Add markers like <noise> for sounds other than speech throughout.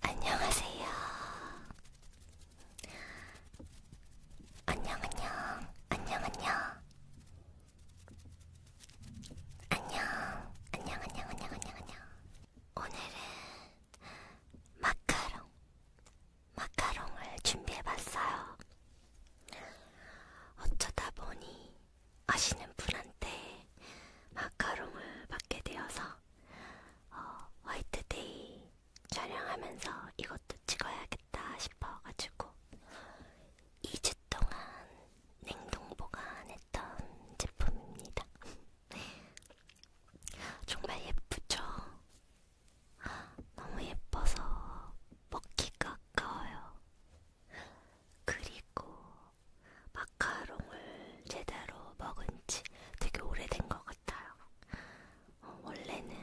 안녕하세요. 안녕, 안녕, 안녕, 안녕. 안녕, 안녕, 안녕, 안녕, 안녕, 안녕. 오늘은 마카롱, 마카롱을 준비해봤어요. 어쩌다 보니 아시는 분한테 마카롱을 받게 되어서 어, 화이트데이 촬영하면서 이것도 찍어야겠다 싶어가지고 2주 동안 냉동 보관했던 제품입니다. <laughs> 정말 예쁘죠? 너무 예뻐서 먹기가 아까워요. 그리고 마카롱을 제대로 먹은 지 되게 오래된 것 같아요. 어, 원래는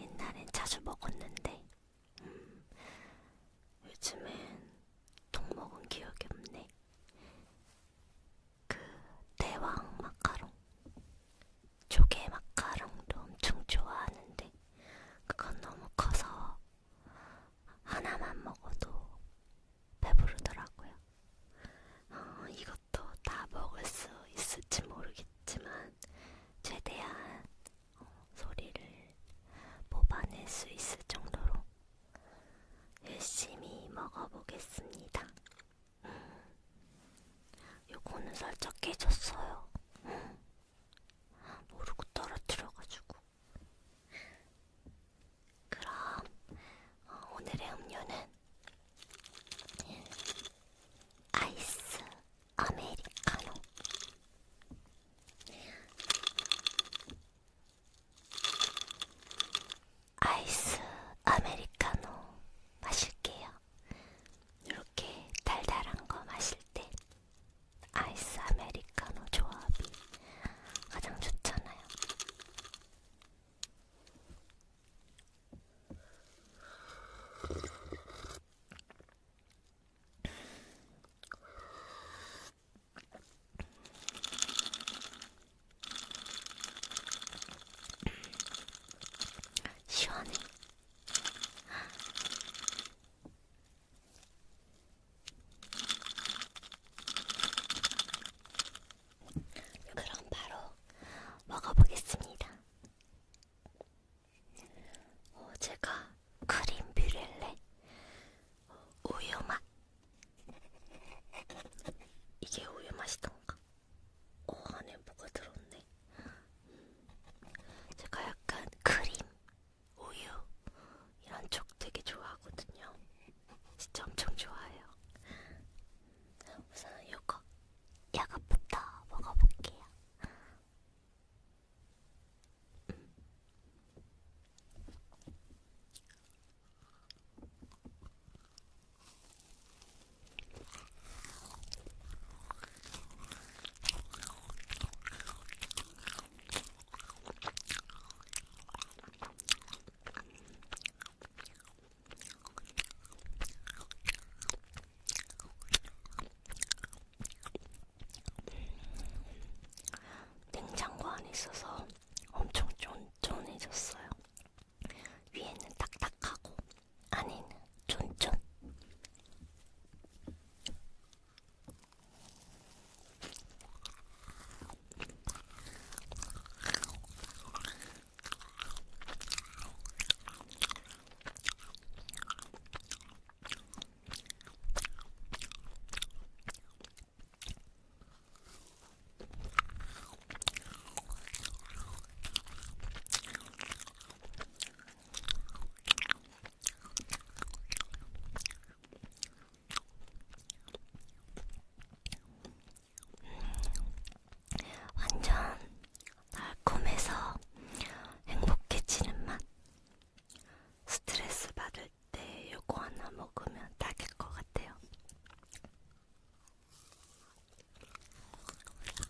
옛날엔 자주 먹었는데, 음, 요즘엔 통 먹은 기억이 없네. 그 대왕 마카롱 조개 마카롱도 엄청 좋아하는데 그건 너무 커서 하나만 먹어도 배부르더라고요. 어, 이것도 다 먹을 수 있을지 모르겠지만 최대한 어, 소리를 뽑아낼 수 있을 정도로 열심히 먹어보겠습니다. 음, 요거는 살짝 깨졌어요. 음. 모르고 떨어뜨려가지고. 그럼 어, 오늘의 음료는 아이스 아메리카노. 아이스 아메리카노 마실게요. 이렇게 달달한 거 마실 때 아이스 아메리카노 조합이 가장 좋잖아요. 시원해. 그럼 바로 먹어보겠습니다. 어, 제가 크림 뷰렐레 우유 맛 이게 우유 맛이던가? 어 안에 뭐가 들었네. 제가 약간 크림, 우유 이런 쪽 되게 좋아하거든요. 진짜 엄청 좋아해요. 우선 요거, 요거부터 먹어볼게요. 냉장고 안에 있어서 엄청 쫀쫀해졌어요. 위에는 딱딱하고 아닌 쫀쫀 완전 달콤해서 행복해지는 맛. 스트레스 받을 때 요거 하나 먹으면 딱일 것 같아요.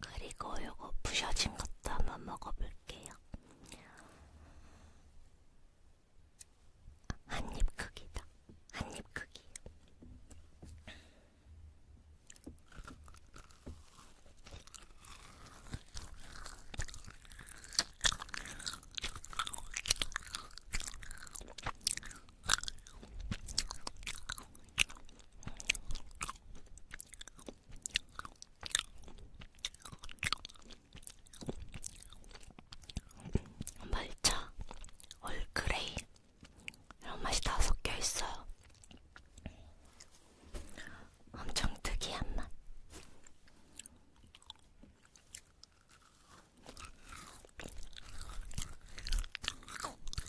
그리고 요거 부셔진 것도 한번 먹어볼게요. 한입 크기다. 한입 크기. 말차 얼그레이 이런 맛이 다 섞여 있어요. 엄청 특이한 맛.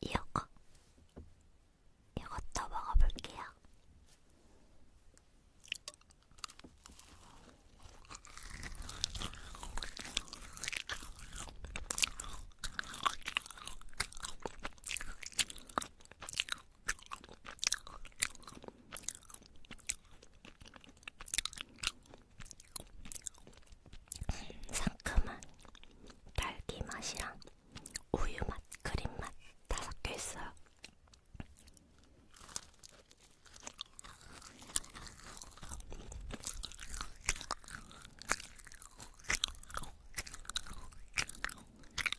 이어거 이것도 먹어볼게요. 상큼한 딸기 맛이랑 우유 맛, 크림 맛다 섞여 있어요.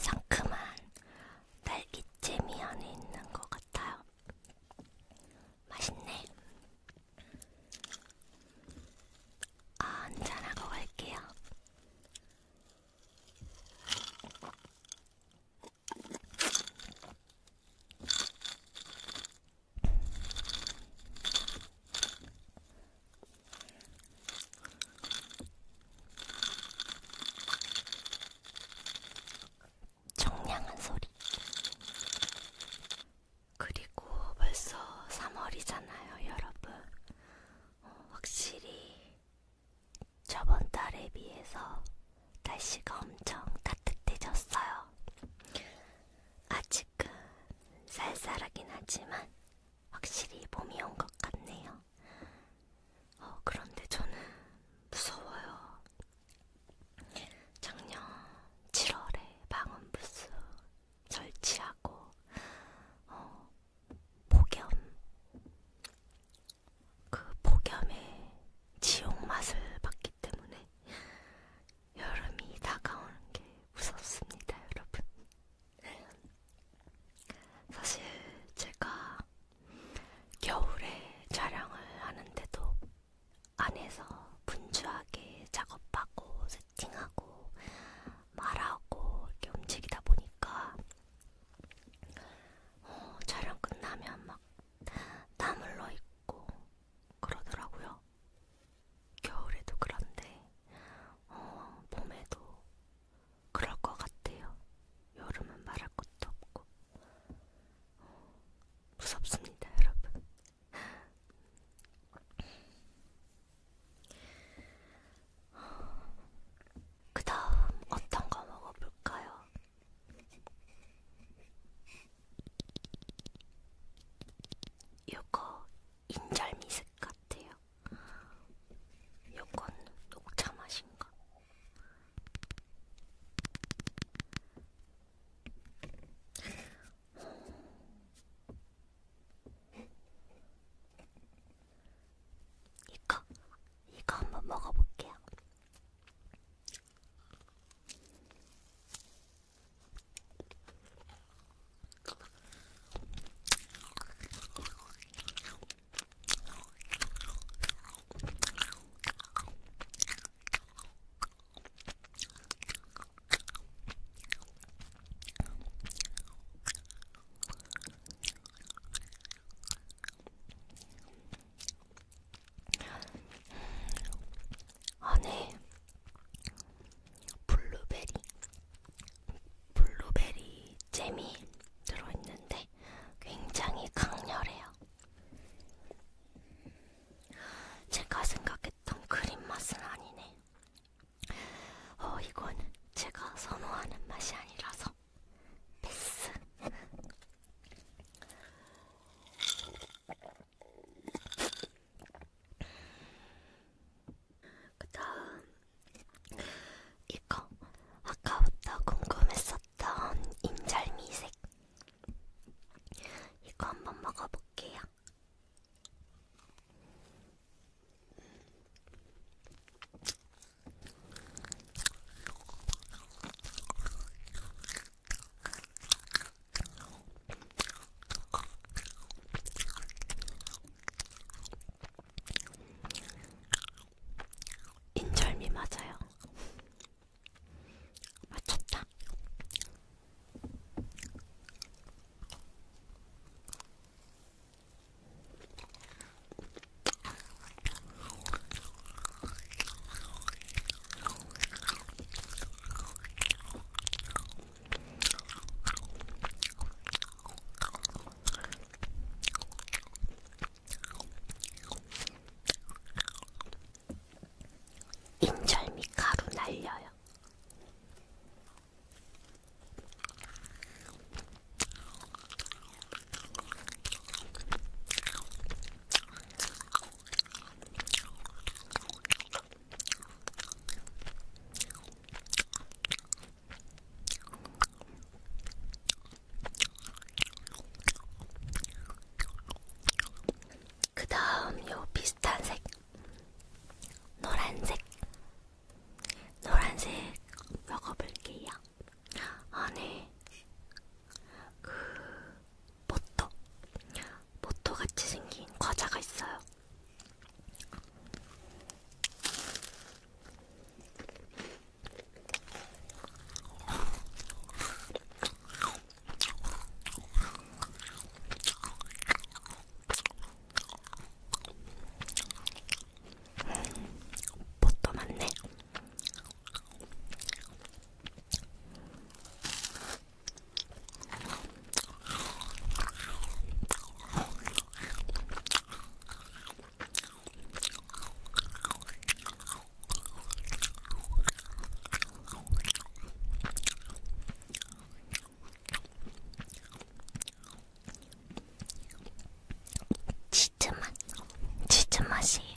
상큼한 딸기잼이 안에 있는 것 같아요. 맛있네. 아, 한잔하고 갈게요. 청량한 소리. 그리고 벌써 3월이잖아요, 여러분. 어, 확실히 저번 달에 비해서 날씨가 엄청 따뜻해졌어요. 아직은 쌀쌀하긴 하지만 확실히 봄이 온 것 같네요. 어, 그런데 저는 무서워요. 작년 7월에 방음부스 설치하고 어, 폭염 그 폭염의 지옥 맛을 봤기 때문에 여름이 다가오는 게 무섭습니다, 여러분. 사실 제가 겨울에 촬영을 하는데도 안에서 분주하게 작업하고 세팅하고 말하고 이렇게 움직이다 보니까 어, 촬영 끝나면 막땀 흘러 있고 그러더라고요. 겨울에도 그런데 어, 봄에도 그럴 것 같아요. 여름은 말할 것도 없고 어, 무섭습니다, 여러분. 그 다음 어떤 거 먹어볼까요? 요거 인절 미색 같아요. 요건 녹차 맛인가? 이거 이거 한번 먹어볼게요. 안에 블루베리, 블루베리 잼이 들어있는데 굉장히 강렬해요. 제가 생각했던 크림 맛은 아니네. 어, 이건 제가 선호하는 맛이 아니라서 패스. 그 다음, 이거 아까부터 궁금했었던 인절미색. 이거 한번 먹어볼게요. 인절미 맞아요. 맞췄다. 인절미 가루 날려요. 그 다음 요 비슷한 색 노란색 노란색 먹어볼게요. 있어요. 안에 그 모토, 모토 같이 생긴 과자가 있어요. 뭣도 많네. 치즈 맛, 치즈 맛이에요.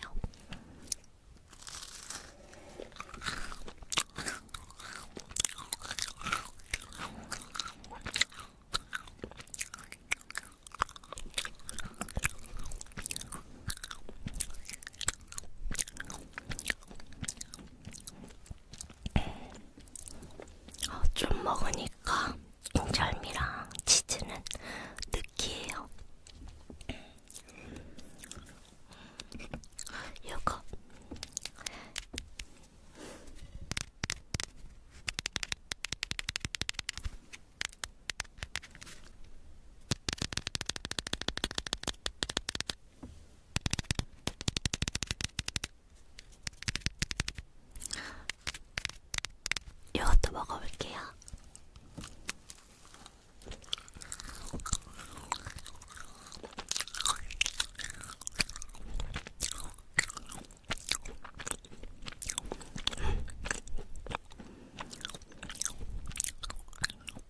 어, 아, 좀 먹으니까 인절미랑 치즈는 느끼해요. 요거 이것도 먹어볼게요.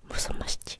무슨 맛이지?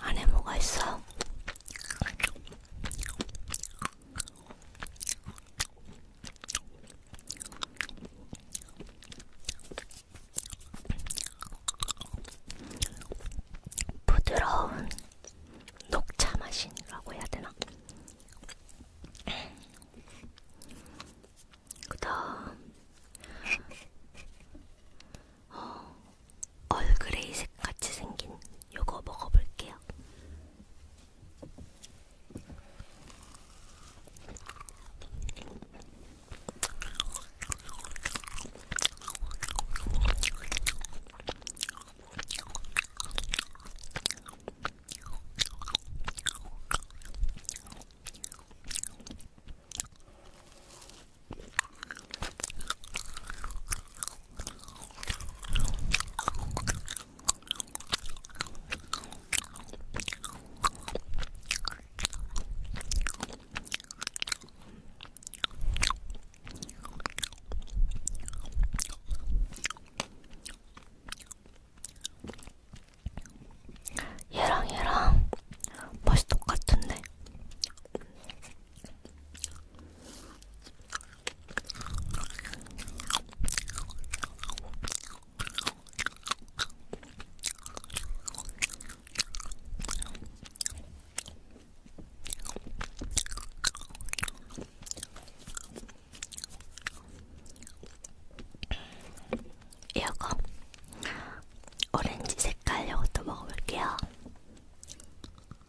안에 뭐가 있어? 부드러운 녹차 맛이라고 해야 되나? 그다음 어, 얼그레이색 같이 생긴 요거 먹어볼게요. 얘랑 얘랑 맛이 똑같은데 이거 오렌지 색깔 요것도 먹어볼게요.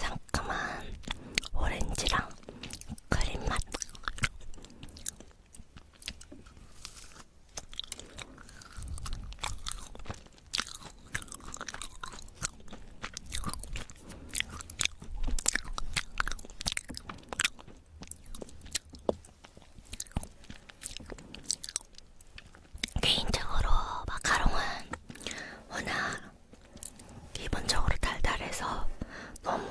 상큼한 오렌지랑 크림 맛. 개인적으로 마카롱은 워낙 기본적으로 달달해서 너무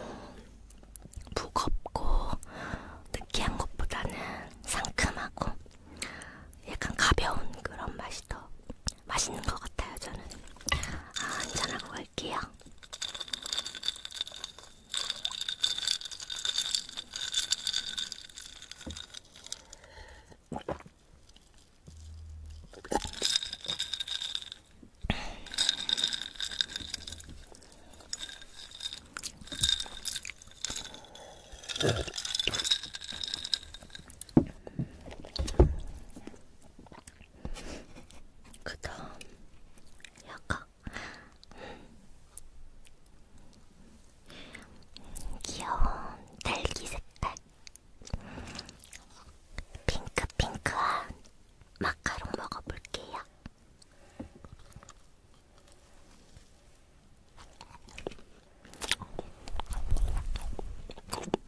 무겁고 느끼한 것보다는 상큼하고 약간 가벼운 그런 맛이 더 맛있는 것 같아요, 저는. 아, 한잔하고 갈게요. 그 다음, 약간, 귀여운 딸기 색깔. 핑크핑크한 마카롱 먹어볼게요.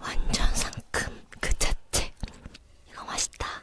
완전 상큼 그 자체. 이거 맛있다.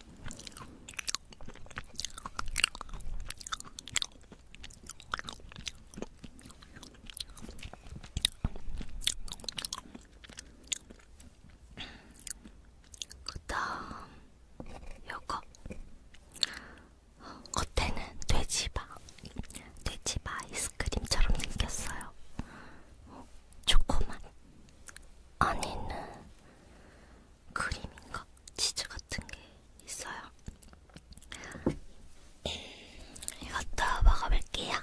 그 다음 요거 겉에는 돼지바 돼지바 아이스크림처럼 생겼어요 어, 초코맛 안에는 크림인가 치즈 같은 게 있어요. 음, 이것도 먹어볼게요.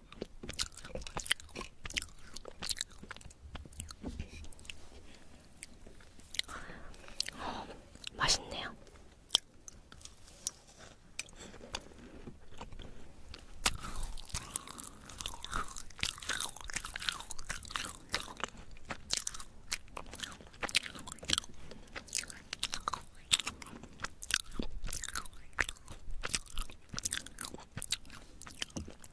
어, 맛있네요.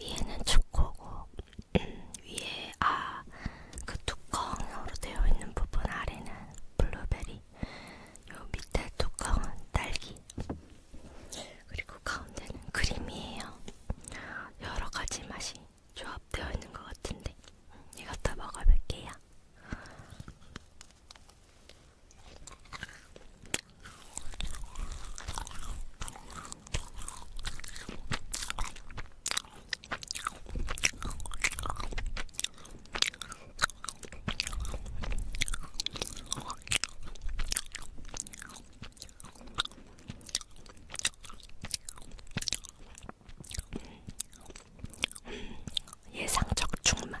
위에는 초코고 음, 위에 아 그 뚜껑으로 되어 있는 부분 아래는 블루베리 요 밑에 뚜껑은 딸기 그리고 가운데는 크림이에요 여러 가지 맛이 조합되어 있는 것 같은데 음, 이거 다 먹어볼게요. 예상적 충맛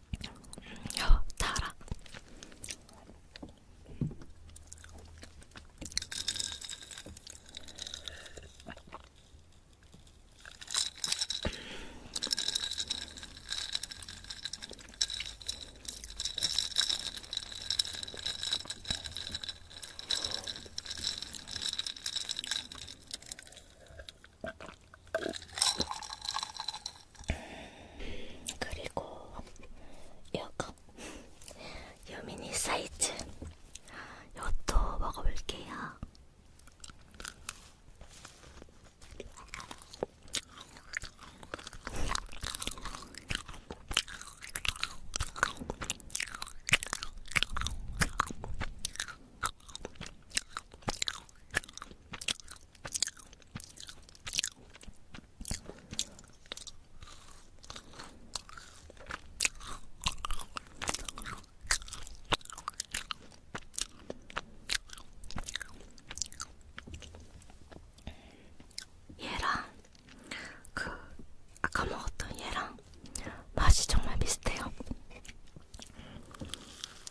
달아. 그리고 이거 유미니 사이즈 이것도 먹어볼게요. 얘랑 그 아까 먹었던 얘랑 맛이 정말 비슷해요.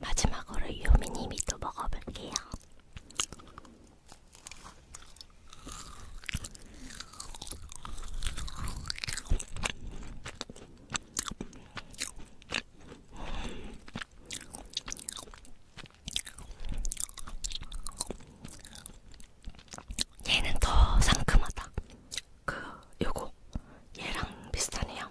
마지막으로 유미님이 또 먹어볼게요. 얘는 더 상큼하다. 그 요거 얘랑 비슷하네요.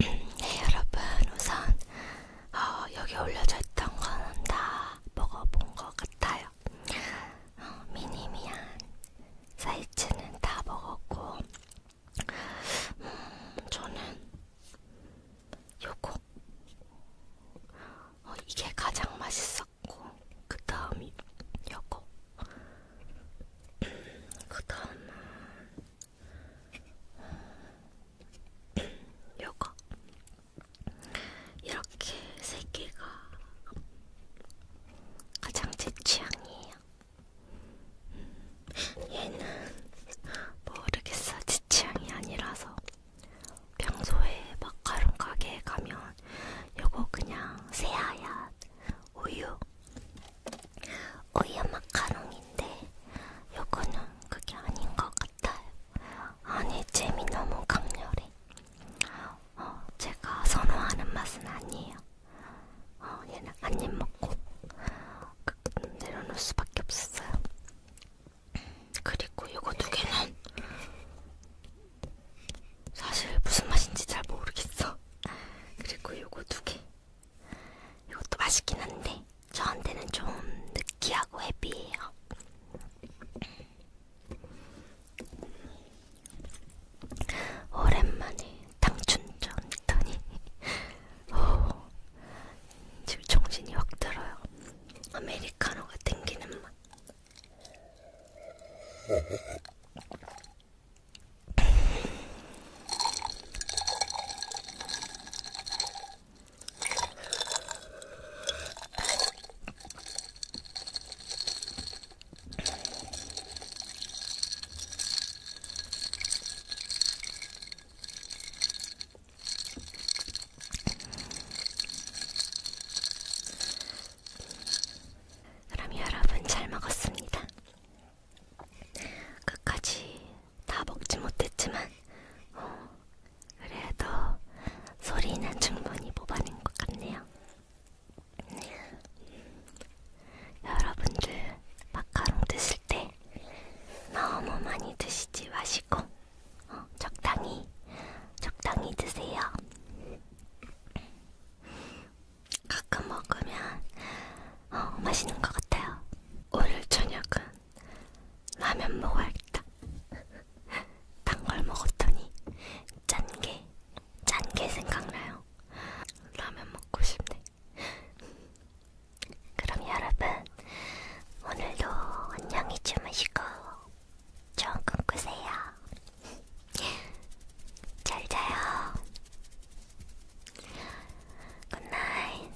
네 여러분 우선 어, 여기 올려져 있던 거는 다 먹어본 것 같아요. 먹었어요. 어, 미니미한 사이즈는 다 먹었고, 음, 저는 요거 어, 이게 가장 맛있었고, 그 다음이 요거. 음, 그 다음은 음, 요거. 이렇게 세 개가 가장 제 취향이에요. 음, 얘는 모르겠어. 제 취향이 아니라서 평소에 마카롱 가게에 가면 요거 그냥 새하얀 우유 우유 마카롱인데 요거는 그게 아닌 것 같아요. 안에 잼이 너무 강렬해. 어, 제가 선호하는 맛은 아니에요. 어, 얘는 한입 먹고 그, 내려놓을 수밖에 없었어요. 그리고 이거 두 개는 사실 무슨 맛인지 잘 모르겠어. 그리고 이거 두 개. 이것도 맛있긴 한데 저한테는 좀 느끼하고 헤비해요. 오랜만에 당춘전 했더니 오, 지금 정신이 확 들어요. 아메리카노가 땡기는 맛. 그럼 여러분 잘 먹었습니다. 끝까지 다 먹지 못했지만 어, 그래도 소리는 충분히 뽑아낸 것 같네요. 네. 여러분들 마카롱 드실 때 너무 많이 드시지 마시고 어, 적당히 적당히 드세요. 가끔 먹으면 어, 맛있는 것 같아요. 오늘 저녁은 라면 먹어야겠다. 단걸 먹었더니 짠게 짠게 생각나요. 라면 먹고 싶네. 그럼 여러분 오늘도 안녕히 주무시고 좋은 꿈 꾸세요. 잘 자요. 굿나잇.